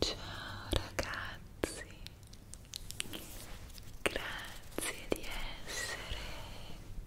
Ciao ragazzi, grazie di essere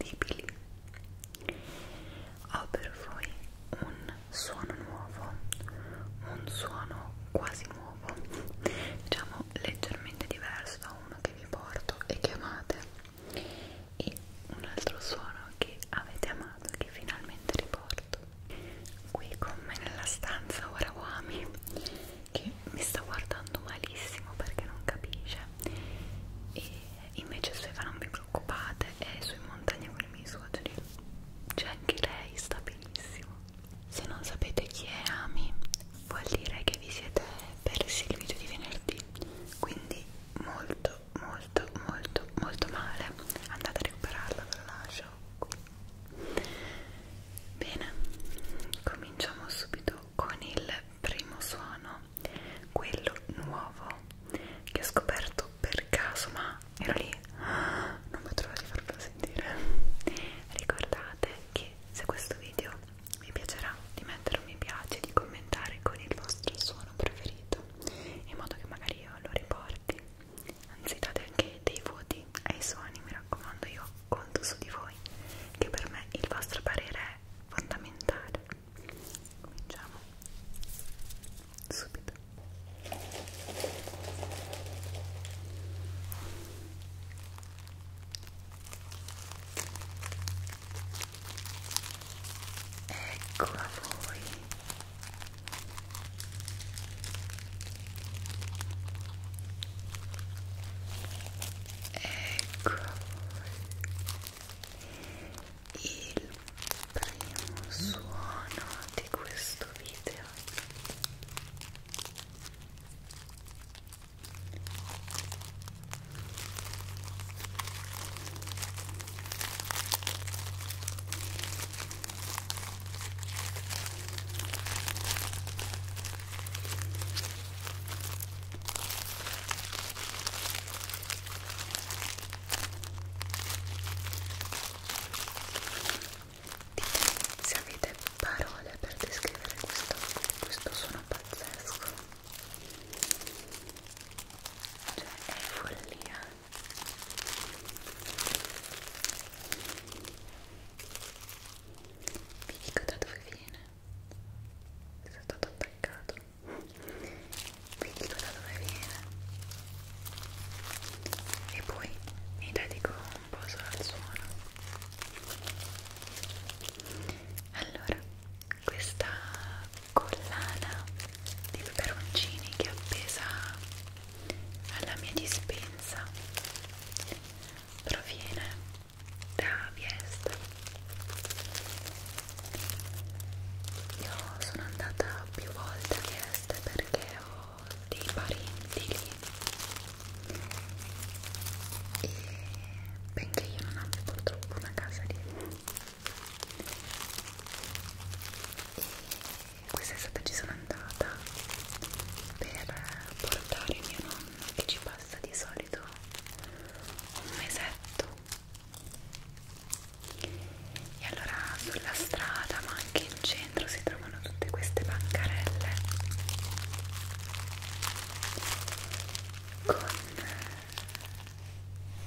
irresistibili. Ho per voi un suono nuovo, un suono quasi nuovo, diciamo leggermente diverso da uno che vi porto e che amate, e un altro suono che avete amato e che finalmente riporto qui con me nella stanza Orawami che mi sta guardando malissimo perché non capisce e invece Stefano non vi preoccupate è su in montagna con i miei suoceri cioè anche lei sta benissimo se non sapete chi è Ami vuol dire che vi siete persi il video di venerdì quindi molto molto molto molto male andate a recuperarla ve lo lascio qui bene cominciamo subito con il primo suono quello nuovo che ho scoperto per caso ma ero lì non mi trovo di farvelo sentire ricordate che se questo video vi piacerà di mettere un mi piace e di commentare con il vostro suono preferito in modo che magari io lo riporti anzi date anche dei voti ai suoni mi raccomando io conto su di voi che per me il vostro parere è fondamentale cominciamo subito ecco a voi ecco a voi il primo suono di questo video Dite se avete parole per descrivere questo, questo suono pazzesco. Cioè è follia. Vi dico da dove viene sono stato attaccato vi dico da dove viene e poi mi dedico un po' solo al suono allora questa collana di peperoncini che è appesa alla mia dispensa proviene da Viesta io sono andata più volte a Viesta perché ho dei parenti lì e benché io non abbia purtroppo una casa lì e questa estate ci sono andata per portare mio nonno che ci passa di solito solito un mesetto e allora sulla strada ma anche in centro si trovano tutte queste bancarelle con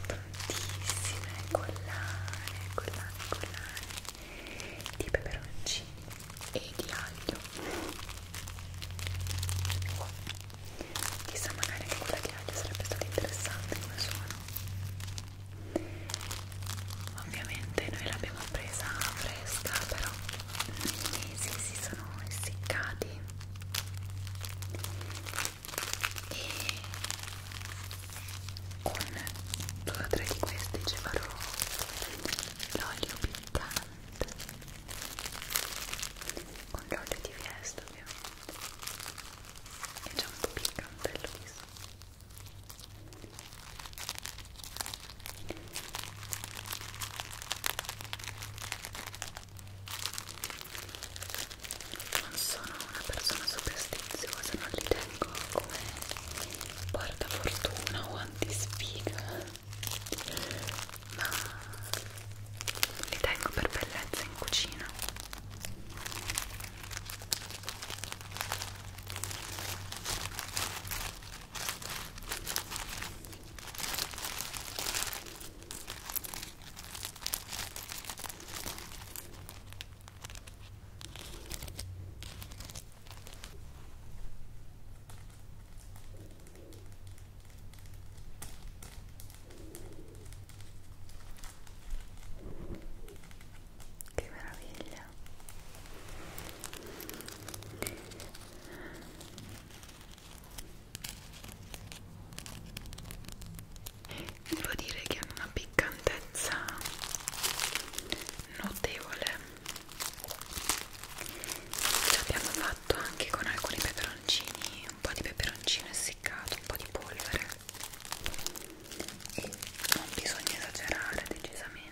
tantissime collane, collane, collane di peperoncini e di aglio chissà magari anche quella ghiaccia sarebbe stata interessante come suono ovviamente noi l'abbiamo presa fresca però i mesi si sono essiccati e con due o tre di questi ci farò l'olio piccante con l'olio di fiesta ovviamente è già un po' piccante il viso non sono una persona superstiziosa, non li tengo come portafortuna o antisfiga ma li tengo per bellezza in cucina che meraviglia! Devo dire che hanno una piccantezza notevole. L'abbiamo fatta fatto anche con alcuni peperoncini un po' di peperoncino essiccato un po' di polvere e non bisogna esagerare decisamente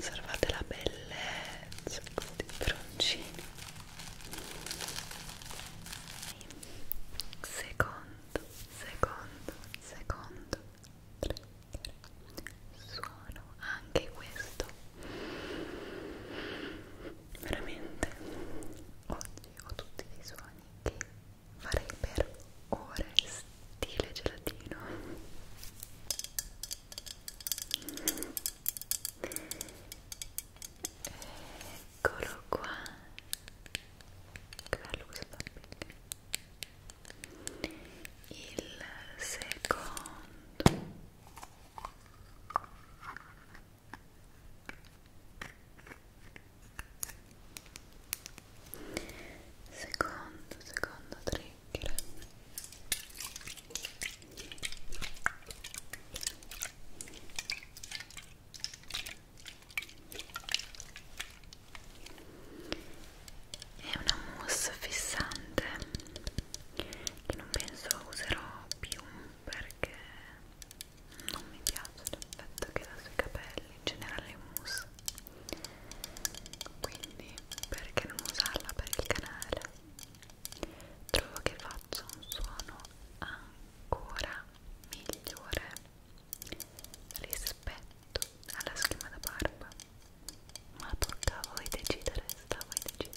Osservate la bellezza di broncini. Secondo, secondo, secondo, suono anche questo veramente oggi ho tutti dei suoni che farei per ore stile gelatino eccolo qua che bello questo tapping il secondo secondo secondo trigger è una mousse fissante che non penso userò più perché non mi piace l'effetto che dà sui capelli in generale le mousse quindi perché non usarla per il canale trovo che faccia un suono ancora migliore rispetto tutto alla schiuma da barba ma tocca a voi decidere sta a voi decidere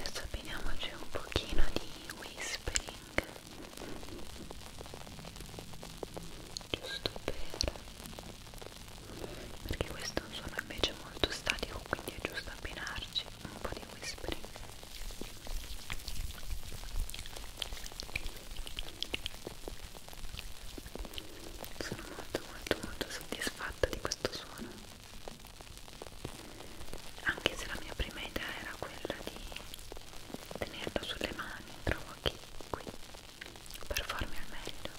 Adesso abbiniamoci un pochino di whispering giusto per perché questo è un suono invece molto statico quindi è giusto abbinarci un po' di whispering sono molto molto molto soddisfatta di questo suono anche se la mia prima idea era quella di tenerlo sulle mani trovo che qui per farmi al meglio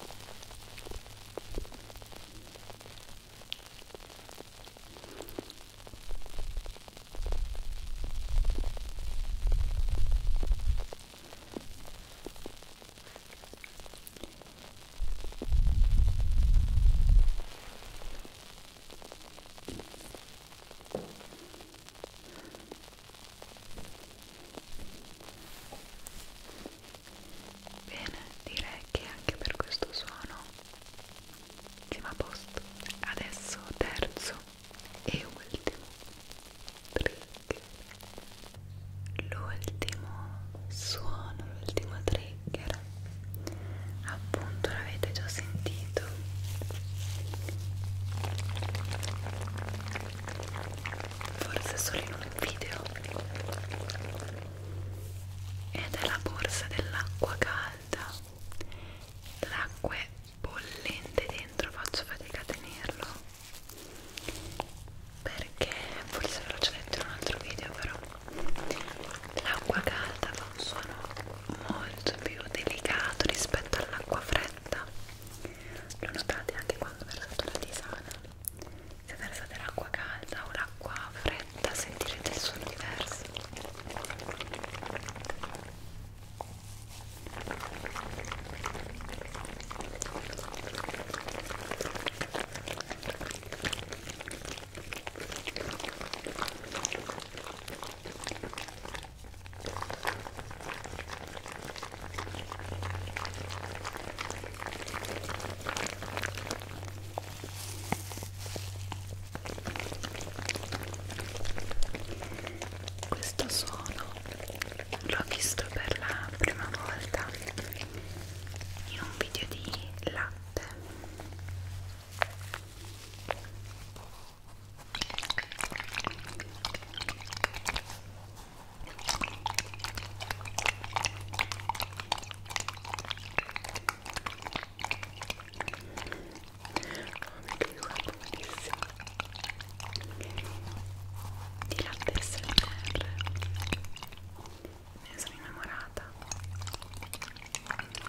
Bene, direi che anche per questo suono siamo a posto. Adesso terzo e ultimo trigger. L'ultimo suono, l'ultimo trigger. Appunto l'avete già sentito forse solo in un video ed è la borsa dell'acqua calda l'acqua è bollente dentro faccio fatica a tenerlo perché forse ve l'ho già detto in un altro video però l'acqua calda fa un suono molto più delicato rispetto all'acqua fredda lo notate anche quando versate la tisana se versate l'acqua calda o l'acqua fredda sentirete il suono diverso questo suono l'ho visto per la prima volta in un video di latte guarda benissimo di latte SMR me ne sono innamorata Ecco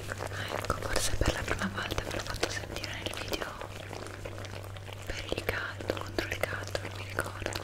ecco forse per la prima volta ve l'ho fatto sentire nel video per il caldo contro il caldo non mi ricordo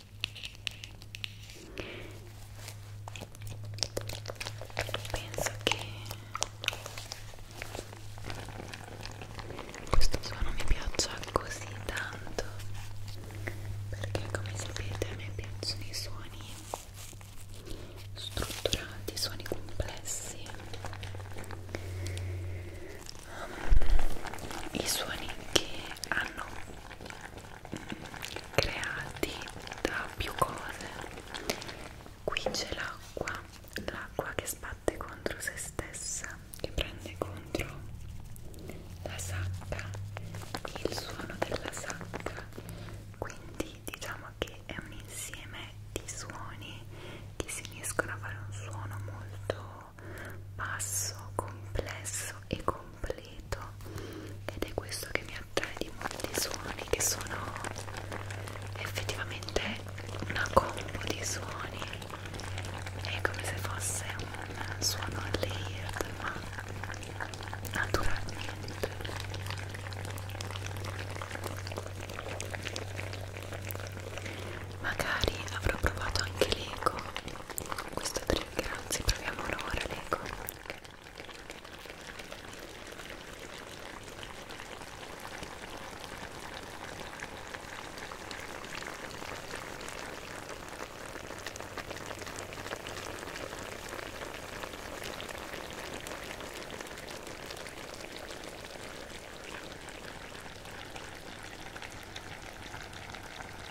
penso che questo suono mi piaccia così tanto perché come sapete a me piacciono i suoni strutturati, suoni complessi i suoni che hanno creati da più cose qui c'è l'acqua l'acqua che sbatte contro se stessa che prende contro la sacca il suono della sacca quindi diciamo che è un insieme di suoni che si uniscono a fare un suono molto basso complesso e complesso completo ed è questo che mi attrae di molti suoni che sono effettivamente una combo di suoni è come se fosse un suono layered ma naturalmente magari avrò provato anche l'eco questo è perché anzi proviamo un'ora l'eco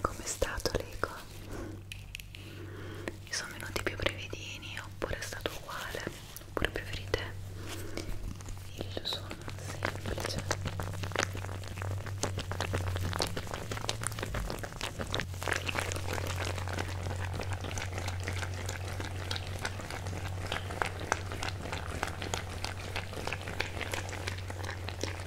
Com'è stato l'eco? Ci sono venuti più brevidini oppure è stato uguale? Oppure preferite il suono semplice?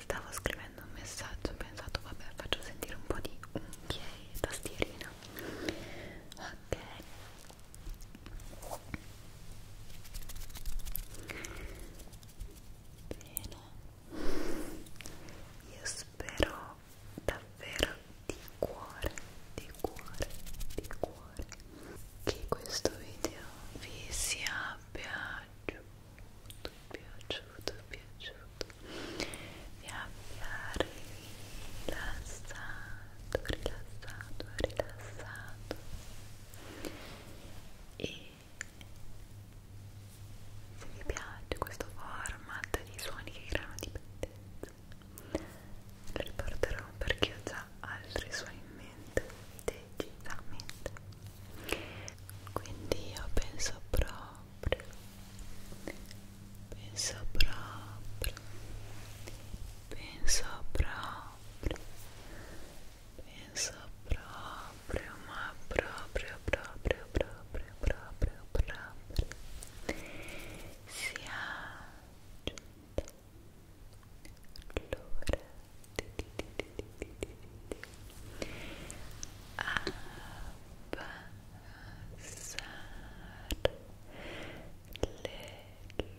Stavo scrivendo un messaggio, ho pensato vabbè faccio sentire un po' di unghie e tastierina. Ok, Bene, io spero davvero di cuore, di cuore, di cuore che questo video vi sia piaciuto, piaciuto, piaciuto, vi abbia rilassato rilassato, rilassato e se vi piace questo format di suoni che creano dipendenza lo riporterò perché ho già altri suoni in mente decisamente quindi io penso proprio penso proprio penso proprio penso proprio ma proprio proprio proprio proprio proprio sia giunta l'ora abbassare le luci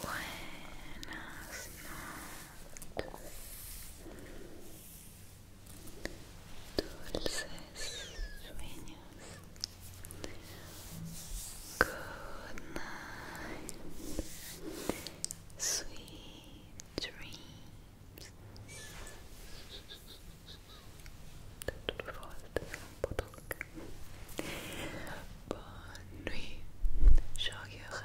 Buenas noches, dulces sueños. Good night, sweet dreams. detto due volte, sono un po' tocca Buon nuit, show your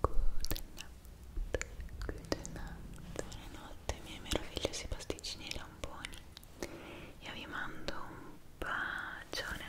Good night, good night Buonanotte miei meravigliosi pasticcini e lamponi Io vi mando un bacione